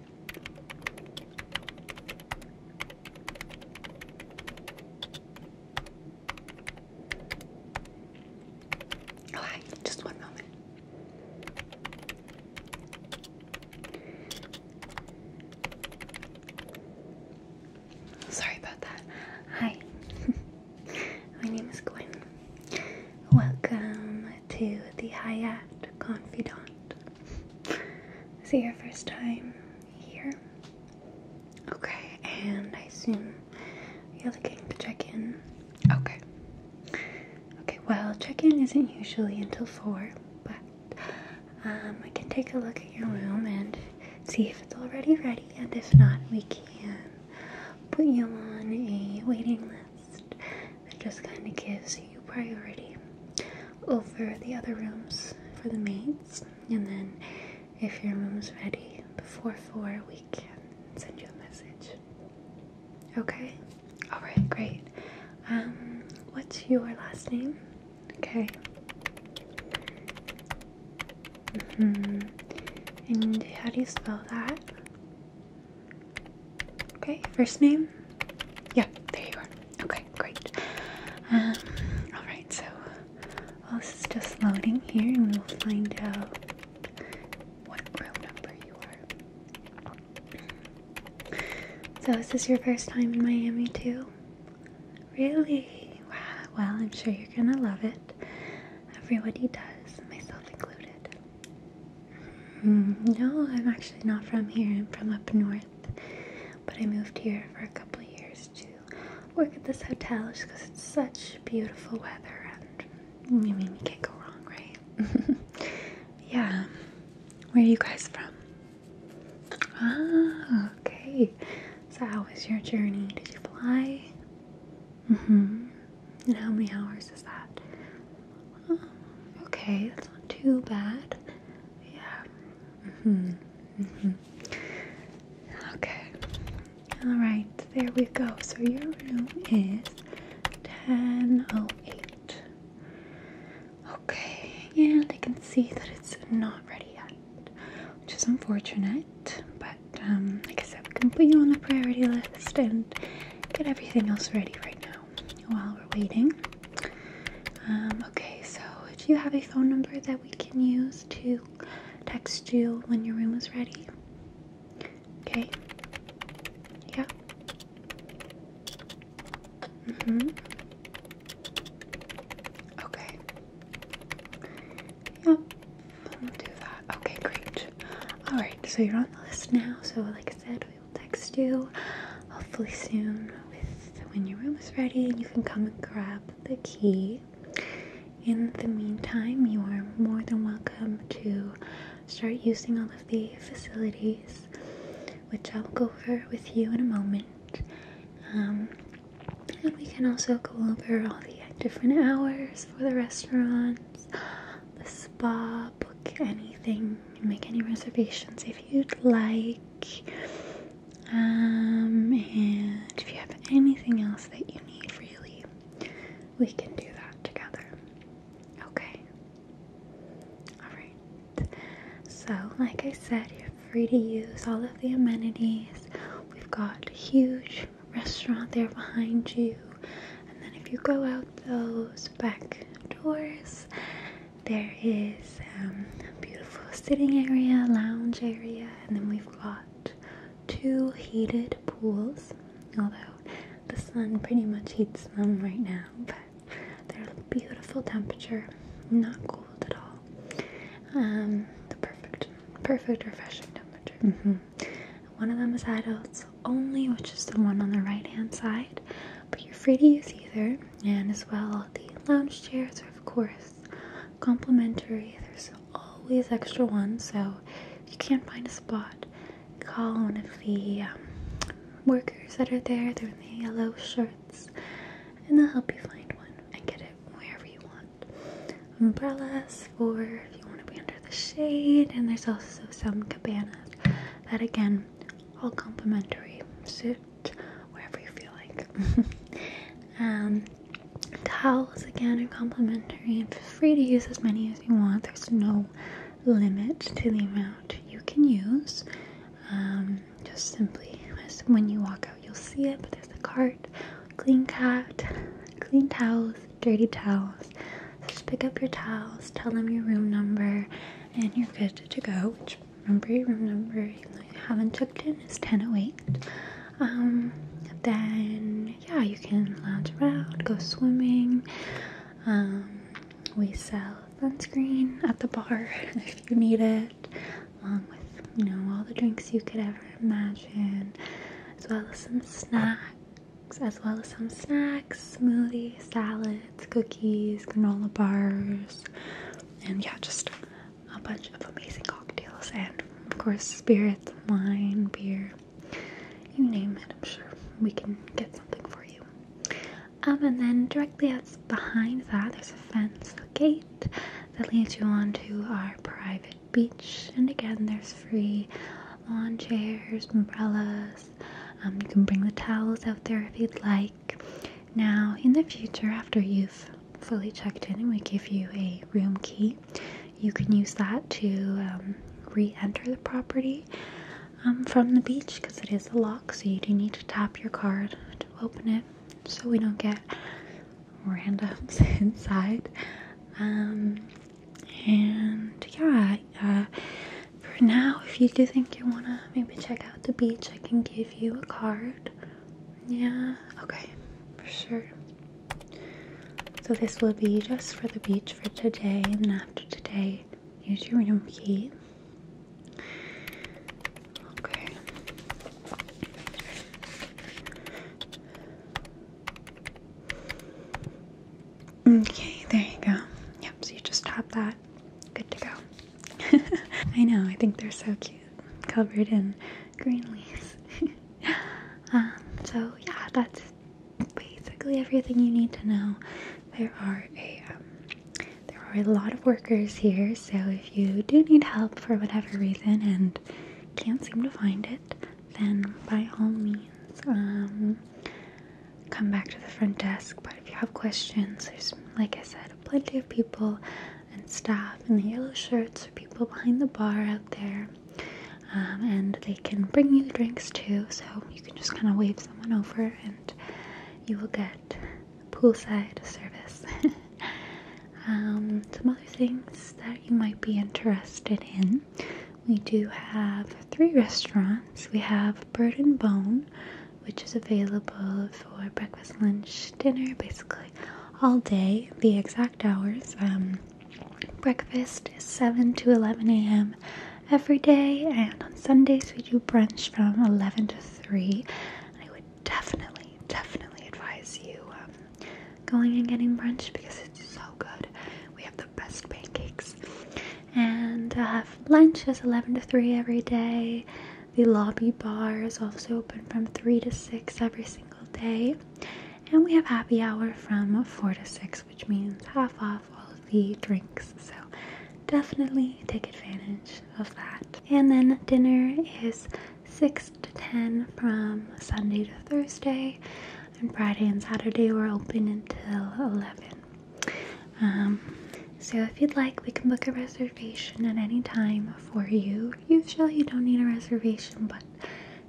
All oh, right, just one moment. Sorry about that. Hi, my name is Gwen. Welcome to the Hyatt Confidant. Is it your first time here? Okay, and I assume you're looking to check in. Okay. Okay, well, check in isn't usually until 4, but um, I can take a look at your room and see if it's already ready, and if not, we can put you on a waiting list it just kind of gives you priority over the other rooms for the maids. And then if your room's ready before 4, we can send you a message. Okay? Alright, great. Um, what's your last name? Okay. hmm And how do you spell that? Okay, first name? Yeah, there you are. Okay, great. Um, Alright, so while this is just loading here, and we'll find out what row number you are. So, is this your first time in Miami, too? Really? Wow. Well, I'm sure you're gonna love it. Everybody does, myself included. Hmm, no, I'm actually not from here. I'm from up north. But I moved here for a couple years to work at this hotel just because it's such beautiful weather and I mean, you can't go wrong, right? yeah. Where are you guys from? Ah, okay. So, how was your journey? Did you fly? Mm hmm. And how many hours is that? Oh, okay, that's not too bad. Yeah. Mhm. mhm. okay. All right. There we go. So your room is 10:08. Okay. And I can see that it's not ready yet, which is unfortunate. But um, like I said, we can put you on the priority list and get everything else ready right now while we're waiting. Um, okay, so do you have a phone number that we can use to text you when your room is ready? Okay. Yeah. hmm Okay. Yep. We'll do that. Okay, great. Alright, so you're on the list now. So, like I said, we will text you hopefully soon when your room is ready and you can come and grab the key. In the meantime, you are more than welcome to start using all of the facilities, which I'll go over with you in a moment. Um, and we can also go over all the different hours for the restaurants, the spa, book anything make any reservations if you'd like. Um, and if you have anything else that you need, really, we can do that together. Okay. Alright. So, like I said, you're free to use all of the amenities. We've got a huge restaurant there behind you. And then if you go out those back doors, there is um, a beautiful sitting area, lounge area, and then we've got two heated pools. Although the sun pretty much heats them right now, but they're a beautiful temperature, not cold at all. Um, the perfect, perfect refreshing temperature. Mm-hmm. One of them is adults only, which is the one on the right hand side, but you're free to use either and as well the lounge chairs are of course complimentary there's always extra ones so if you can't find a spot call one of the um, workers that are there they're in the yellow shirts and they'll help you find one and get it wherever you want umbrellas for if you want to be under the shade and there's also some cabanas that again all complimentary. Sit wherever you feel like. um, towels again are complimentary and free to use as many as you want. There's no limit to the amount you can use. Um, just simply when you walk out, you'll see it. But there's a cart, clean cat, clean towels, dirty towels. just pick up your towels, tell them your room number, and you're good to go number remember I haven't checked in is 1008. Um, then yeah, you can lounge around, go swimming. Um, we sell sunscreen at the bar if you need it, along with you know all the drinks you could ever imagine, as well as some snacks, as well as some snacks smoothies, salads, cookies, granola bars, and yeah, just a bunch of amazing cocktails and of course spirits, wine, beer, you name it. I'm sure we can get something for you. Um, and then directly as behind that, there's a fence, a gate that leads you onto our private beach. And again, there's free lawn chairs, umbrellas. Um, you can bring the towels out there if you'd like. Now, in the future, after you've fully checked in and we give you a room key, you can use that to um, re enter the property um, from the beach because it is a lock, so you do need to tap your card to open it so we don't get randoms inside. Um, and yeah, uh, for now, if you do think you want to maybe check out the beach, I can give you a card. Yeah, okay, for sure. So, this will be just for the beach for today, and after today, use your room key. Okay. Okay, there you go. Yep, so you just tap that. Good to go. I know, I think they're so cute, covered in green leaves. Um, so, yeah, that's basically everything you need to know. There are a um, there are a lot of workers here, so if you do need help for whatever reason and can't seem to find it, then by all means, um, come back to the front desk. But if you have questions, there's, like I said, plenty of people and staff in the yellow shirts or people behind the bar out there. Um, and they can bring you drinks too, so you can just kind of wave someone over and you will get poolside service. Um, some other things that you might be interested in. We do have three restaurants. We have Bird and Bone, which is available for breakfast, lunch, dinner, basically all day. The exact hours. Um, breakfast is 7 to 11 a.m. every day, and on Sundays we do brunch from 11 to 3. I would definitely, definitely advise you um, going and getting brunch because it's so good. We have the best pancakes and I have lunch is 11 to 3 every day. The lobby bar is also open from 3 to 6 every single day. And we have happy hour from 4 to 6, which means half off all of the drinks. So definitely take advantage of that. And then dinner is 6 to 10 from Sunday to Thursday. And Friday and Saturday we're open until 11. Um, so if you'd like, we can book a reservation at any time for you. Usually you don't need a reservation, but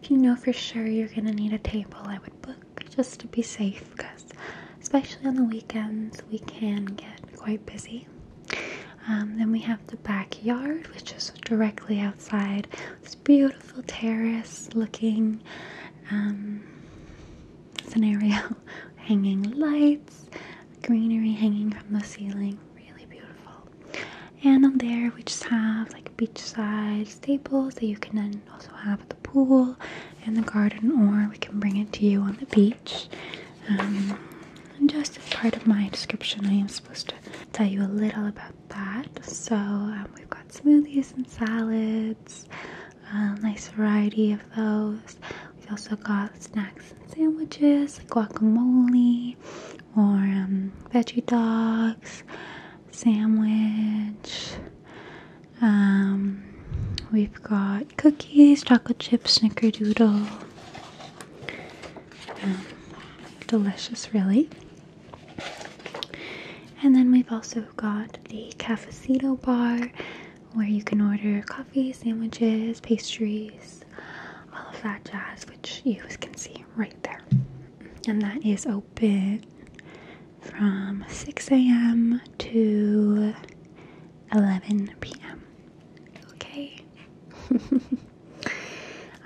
if you know for sure you're going to need a table, I would book just to be safe because especially on the weekends we can get quite busy. Um, then we have the backyard, which is directly outside. This beautiful terrace looking. Um, scenario hanging lights, greenery hanging from the ceiling. Really beautiful. And on there, we just have like beachside staples that you can then also have at the pool and the garden, or we can bring it to you on the beach. Um, just as part of my description, I am supposed to tell you a little about that. So, um, we've got smoothies and salads a nice variety of those. We have also got snacks sandwiches, guacamole or um, veggie dogs, sandwich. Um, we've got cookies, chocolate chip snickerdoodle. Um, delicious, really. And then we've also got the cafecito bar, where you can order coffee, sandwiches, pastries, all of that jazz, which you can see right there. And that is open from 6 a.m. to 11 p.m. Okay.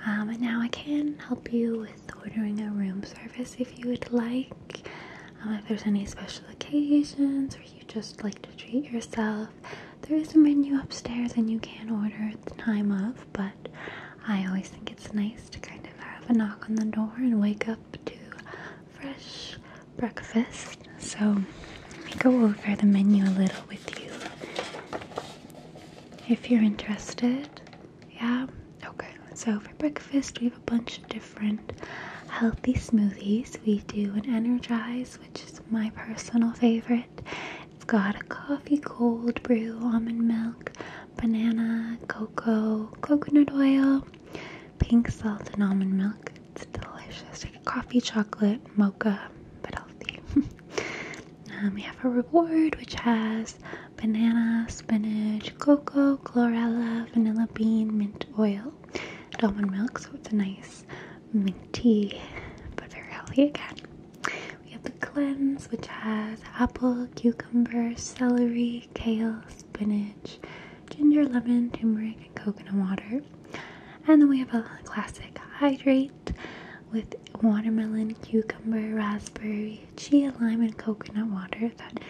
Um, and now I can help you with ordering a room service if you would like. Um, if there's any special occasions or you just like to treat yourself, there is a menu upstairs and you can order at the time of, but I always think it's nice to kind of have a knock on the door and wake up to fresh breakfast. So let me go over the menu a little with you if you're interested. Yeah? Okay. So for breakfast, we have a bunch of different healthy smoothies. We do an energize which is my personal favorite. It's got a coffee cold brew, almond milk, banana, cocoa, coconut oil, pink salt, and almond milk. It's delicious, like coffee, chocolate, mocha, but healthy. Um, we have a reward which has banana, spinach, cocoa, chlorella, vanilla bean, mint oil almond milk, so it's a nice minty but very healthy again. We have the cleanse, which has apple, cucumber, celery, kale, spinach, ginger, lemon, turmeric, and coconut water. And then we have a classic hydrate with watermelon, cucumber, raspberry, chia, lime, and coconut water. That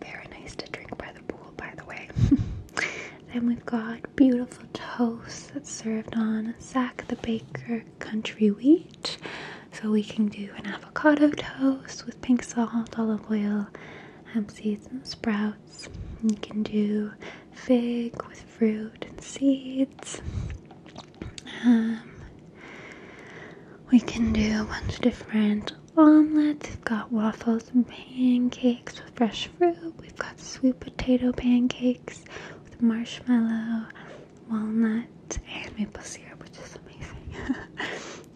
very nice to drink by the pool, by the way. then we've got beautiful toast that's served on Zach the Baker country wheat. So we can do an avocado toast with pink salt, olive oil, hemp seeds, and sprouts. You can do fig with fruit and seeds. Um, we can do a bunch of different omelets. got waffles and pancakes with fresh fruit. We've got sweet potato pancakes with marshmallow, walnut, and maple syrup, which is amazing.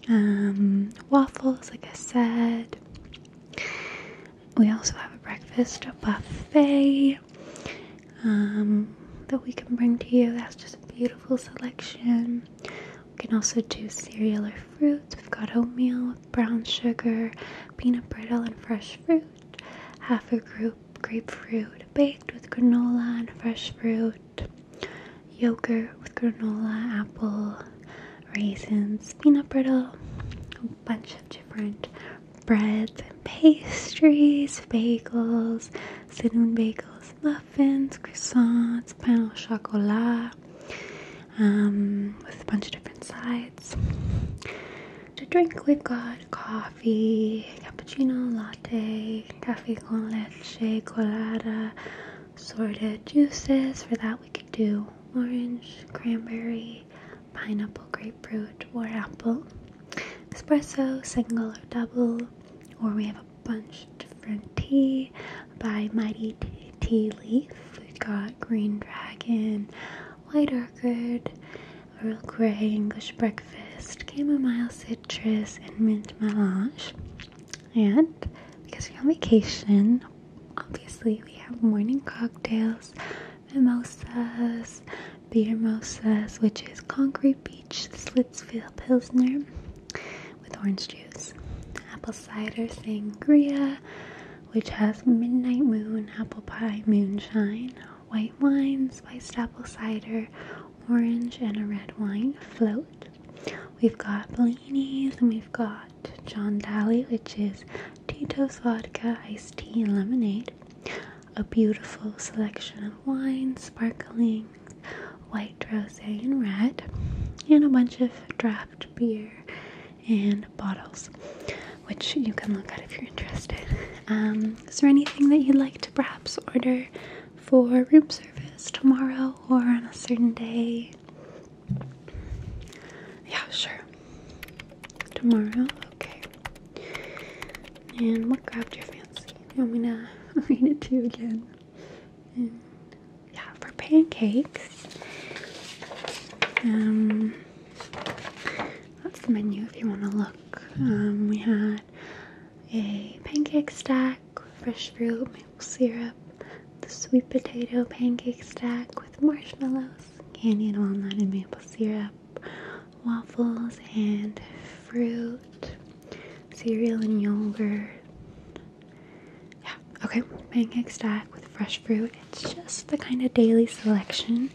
Um, waffles, like I said. We also have a breakfast buffet um, that we can bring to you. That's just a beautiful selection. We can also do cereal or fruits. We've got oatmeal, brown sugar, peanut brittle, and fresh fruit. Half a group grapefruit baked with granola and fresh fruit. Yogurt with granola, apple, raisins, peanut brittle, a bunch of different breads pastries, bagels, cinnamon bagels, muffins, croissants, pain au chocolat, um, with a bunch of different sides. To drink, we've got coffee, cappuccino, latte, cafe con leche, colada, sorted juices. For that, we could do orange, cranberry, pineapple, grapefruit, or apple. Espresso, single or double, or we have a bunch of different tea by Mighty Tea Leaf we got green dragon, white orchid, Earl Grey English breakfast, chamomile citrus, and mint melange. And because we're on vacation, obviously we have morning cocktails, mimosas, beer mosas, which is Concrete Beach Slitsville Pilsner with orange juice, apple cider sangria, which has midnight moon, apple pie, moonshine, white wine, spiced apple cider, orange, and a red wine float. We've got Bellini's and we've got John Daly, which is Tito's vodka, iced tea, and lemonade. A beautiful selection of wines, sparkling, white, rose, and red, and a bunch of draft beer and bottles, which you can look at if you're interested. Um, is there anything that you'd like to perhaps order for room service tomorrow or on a certain day? Yeah, sure. Tomorrow, okay. And what grabbed your fancy? I'm gonna read it to you again. yeah, for pancakes, um, that's the menu if you want to look. Um, we had a pancake stack, fresh fruit, maple syrup, the sweet potato pancake stack with marshmallows, candied walnut, and maple syrup, waffles and fruit, cereal and yogurt. Yeah, Okay, pancake stack with fresh fruit. It's just the kind of daily selection.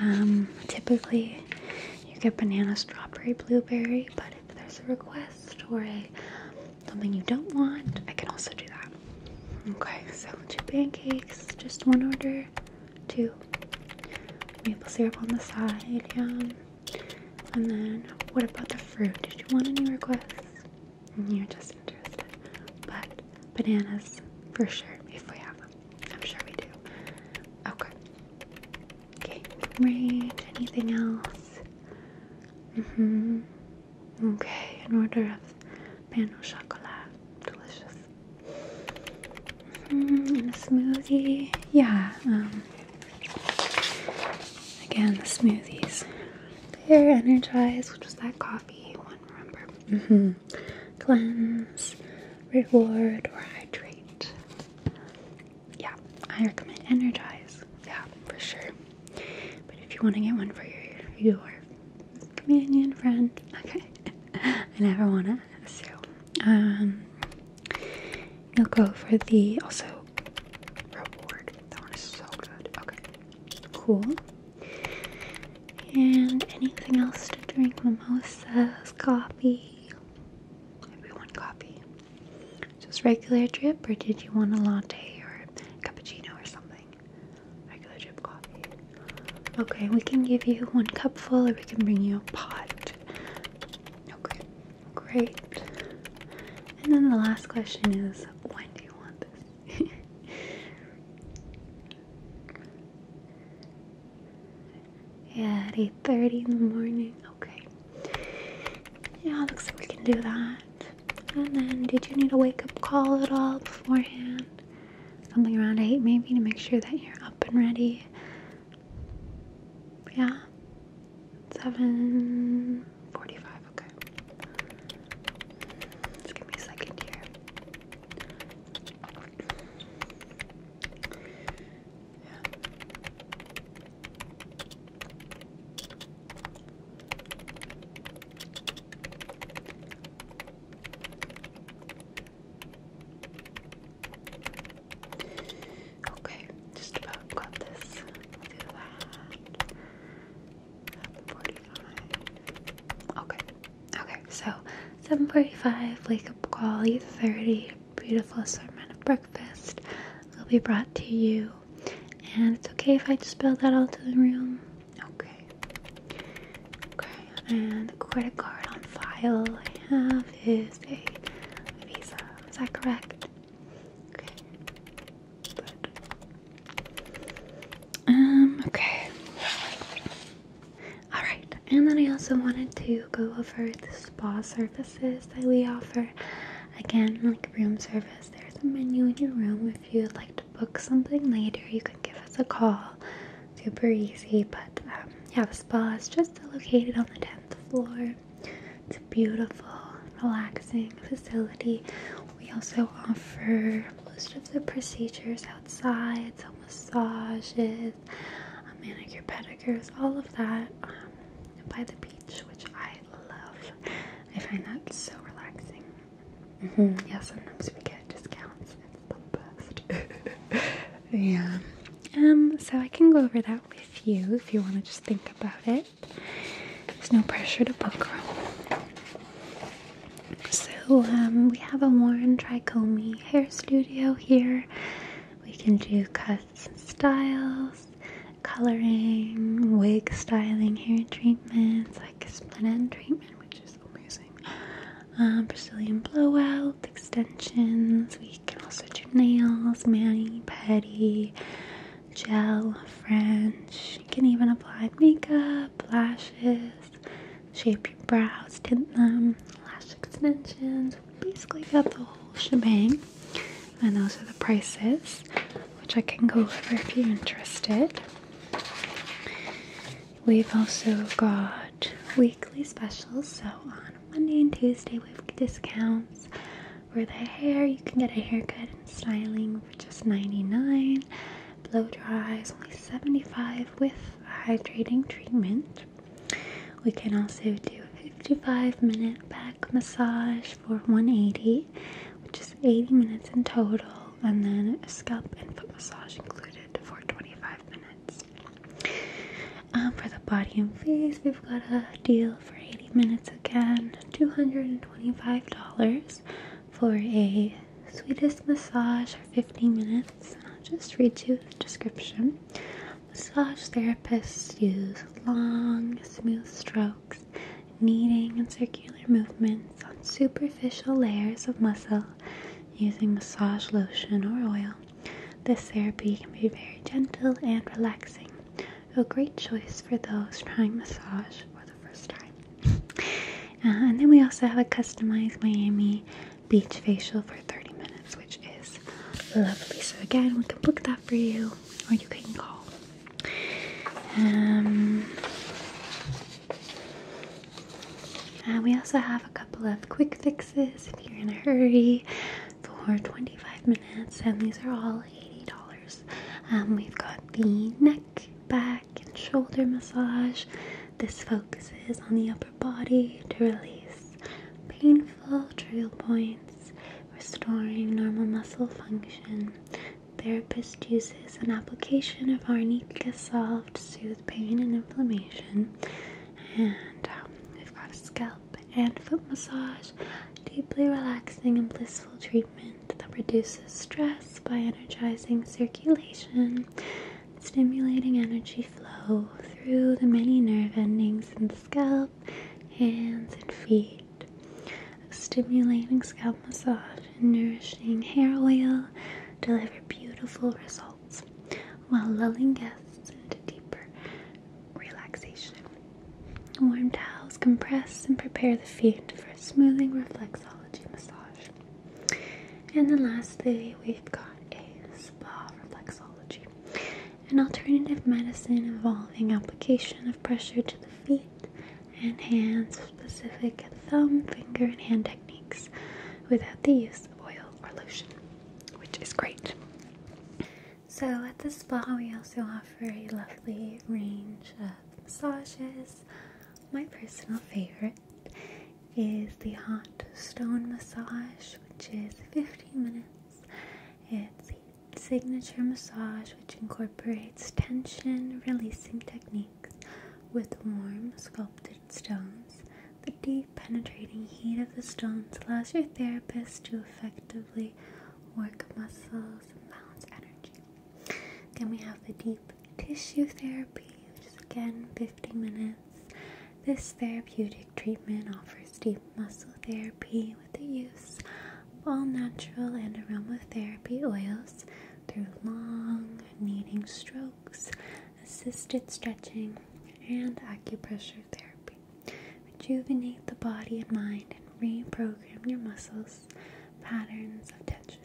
Um, typically, you get banana, strawberry, blueberry, but if there's a request or a something you don't want, I can also do that. Okay, so two pancakes, just one order, two maple syrup on the side, yeah. And then, what about the fruit? Did you want any requests? You're just interested. But bananas, for sure, if we have them. I'm sure we do. Okay. Okay, rage, anything else? Mm-hmm. Okay, in order of pan chocolate, Delicious. Mm smoothie. Yeah, um again the smoothies. They're energized, which is that coffee coffee one, remember? Mm hmm. Cleanse, reward, or hydrate. Yeah, I recommend energize. Yeah, for sure. But if you want to get one for your, your companion friend, okay. I never want to, so. Um, you'll go for the also reward. That one is so good. Okay. Cool. And anything else to drink? Mimosas, coffee. Everyone, coffee. Just regular drip, or did you want a latte or cappuccino or something? Regular drip coffee. Okay, we can give you one cupful, or we can bring you a pot. Okay, great. And then the last question is when do you want this? yeah, at 8.30 in the morning. Okay. Yeah, looks like we can do that. And then, did you need a wake-up call at all beforehand? Something around 8 maybe to make sure that you're up and ready. Yeah. 7.45, okay. Just give me a second here. Yeah. Okay, just about got this. Okay. Okay. So 7:45. Wake up call. 8:30. Beautiful assortment of breakfast will be brought to you. And it's okay if I just spell that all to the room. Okay. Okay. And the credit card on file I have is a Visa. Is that correct? Okay. Um, okay. Alright, and then I also wanted to go over the spa services that we offer. Again, like room service, there's a menu in your room. If you'd like to book something later, you can give us a call. Super easy, but um, yeah, the spa is just located on the 10th floor. It's a beautiful, relaxing facility we also offer most of the procedures outside, so massages, manicure, pedicures, all of that um, by the beach, which I love. I find that so relaxing. Mm-hmm. Yeah, sometimes we get discounts. It's the best. yeah. Um, so I can go over that with you if you want to just think about it. There's no pressure to book room. So um, we have a Warren Tricomi hair studio here. We can do cuts and styles, coloring, wig styling, hair treatments, like split end treatment, which is amazing. Um, Brazilian blowout, extensions. We can also do nails, mani, pedi, gel, French. You can even apply makeup, lashes shape your brows, tint them, lash extensions. Basically got the whole shebang. And those are the prices, which I can go over if you're interested. We've also got weekly specials. So on Monday and Tuesday, we have discounts. For the hair, you can get a haircut and styling for just 99 blow dry is only 75 with hydrating treatment. We can also do a 55 minute back massage for 180, which is 80 minutes in total, and then a scalp and foot massage included for 25 minutes. Um, for the body and face, we've got a deal for 80 minutes again, $225 for a sweetest massage for 15 minutes. I'll just read you the description. Massage therapists use long, smooth strokes, kneading, and circular movements on superficial layers of muscle using massage lotion or oil. This therapy can be very gentle and relaxing, a great choice for those trying massage for the Uh, and then we also have a customized Miami beach facial for 30 minutes, which is lovely. So again, we can book that for you, or you can call. Um, uh, we also have a couple of quick fixes if you're in a hurry for 25 minutes, and these are all $80. Um, we've got the neck back, and shoulder massage. This focuses on the upper body to release painful trigger points, restoring normal muscle function. Therapist uses an application of arnica soft to soothe pain and inflammation. And um, we've got scalp and foot massage, deeply relaxing and blissful treatment that reduces stress by energizing circulation stimulating energy flow through the many nerve endings in the scalp, hands, and feet. stimulating scalp massage and nourishing hair oil deliver beautiful results while lulling guests into deeper relaxation. Warm towels compress and prepare the feet for a smoothing reflexology massage. And then lastly, we've got a spa reflexology, an alternative medicine involving application of pressure to the feet and hands, specific thumb, finger, and hand techniques, without the use of oil or lotion, which is great. So at the spa, we also offer a lovely range of massages. My personal favorite is the hot stone massage, which is 15 minutes. It's a signature massage which incorporates tension releasing techniques with warm sculpted stones. The deep penetrating heat of the stones allows your therapist to effectively work muscles and balance energy. Then we have the deep tissue therapy, which is again 50 minutes. This therapeutic treatment offers deep muscle therapy with the use of all natural and aromatherapy oils through long, kneading strokes, assisted stretching, and acupressure therapy. Rejuvenate the body and mind and reprogram your muscles patterns of tension.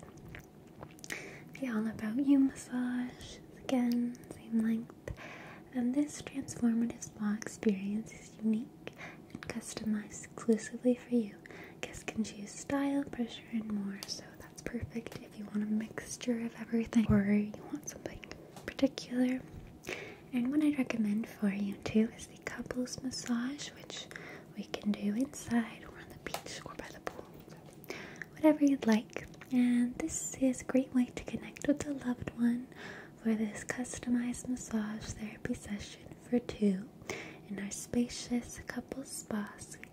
The All About You massage, again, same length. And this transformative spa experience is unique and customized exclusively for you. Guests can choose style, pressure, and more, so that's perfect if you want a mixture of everything or you want something particular. And what I'd recommend for you too is the couples massage, which we can do inside or on the beach or by the pool whatever you'd like. And this is a great way to connect with a loved one for this customized massage therapy session for two in our spacious couples spa suite.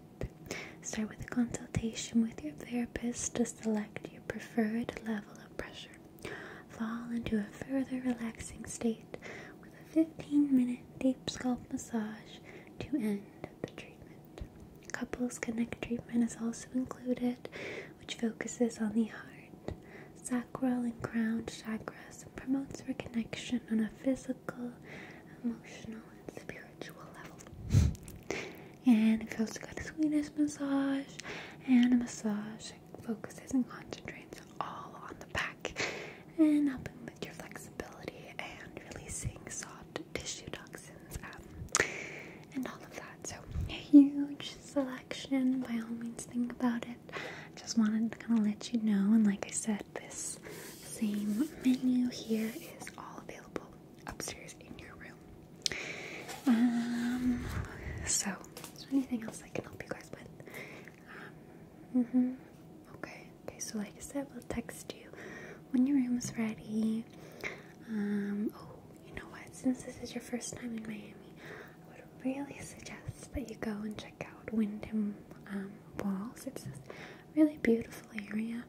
Start with a consultation with your therapist to select your preferred level of pressure. Fall into a further relaxing state with a 15 minute deep scalp massage to end the treatment. Couples Connect treatment is also included, which focuses on the heart, sacral, and crown chakras promotes reconnection on a physical, emotional, and spiritual level. and it also got a Swedish massage and a massage that focuses and concentrates all on the back and helping with your flexibility flexibility and releasing soft tissue toxins um, and all of that. So, huge selection. By all means, think about it. Just wanted to kind of let you know. And, like I said, this same menu here is all available upstairs in your room. Um, so, is there anything else I can help you guys with? -hmm. Okay, okay, so like I said, we'll text you when your room is ready. Um, oh, you know what? Since this is your first time in Miami, I would really suggest that you go and check out Wyndham um, Walls. It's this really beautiful area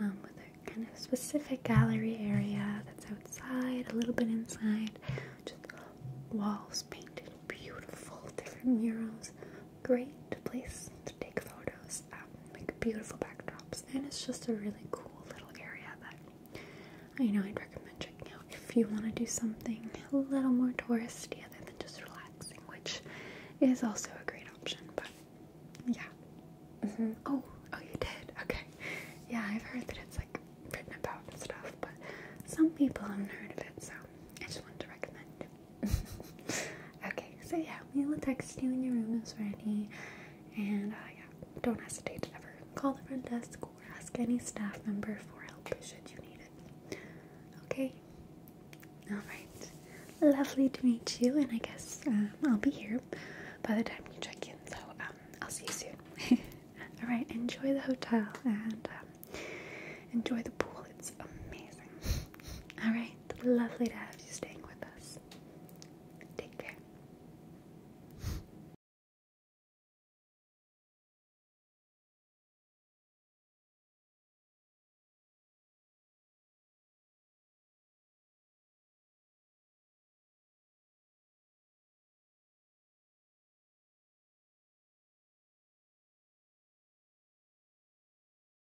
um, with a kind of specific gallery area that's outside, a little bit inside, just walls painted beautiful, different murals great place to take photos like beautiful backdrops, and it's just a really cool little area that I know I'd recommend checking out if you want to do something a little more touristy other than just relaxing, which is also a great option. But yeah, mm-hmm. oh, oh, you did, okay, yeah, I've heard that it's like written about stuff, but some people haven't heard of it, so I just wanted to recommend okay, so yeah, we will text you when your room is ready. And uh, yeah, don't hesitate to ever call the front desk or ask any staff member for help should you need it. Okay? Alright. Lovely to meet you, and I guess um, I'll be here by the time you check in, so um, I'll see you soon. Alright, enjoy the hotel and um, enjoy the pool, it's amazing. Alright right, lovely to have you staying with us. Take care.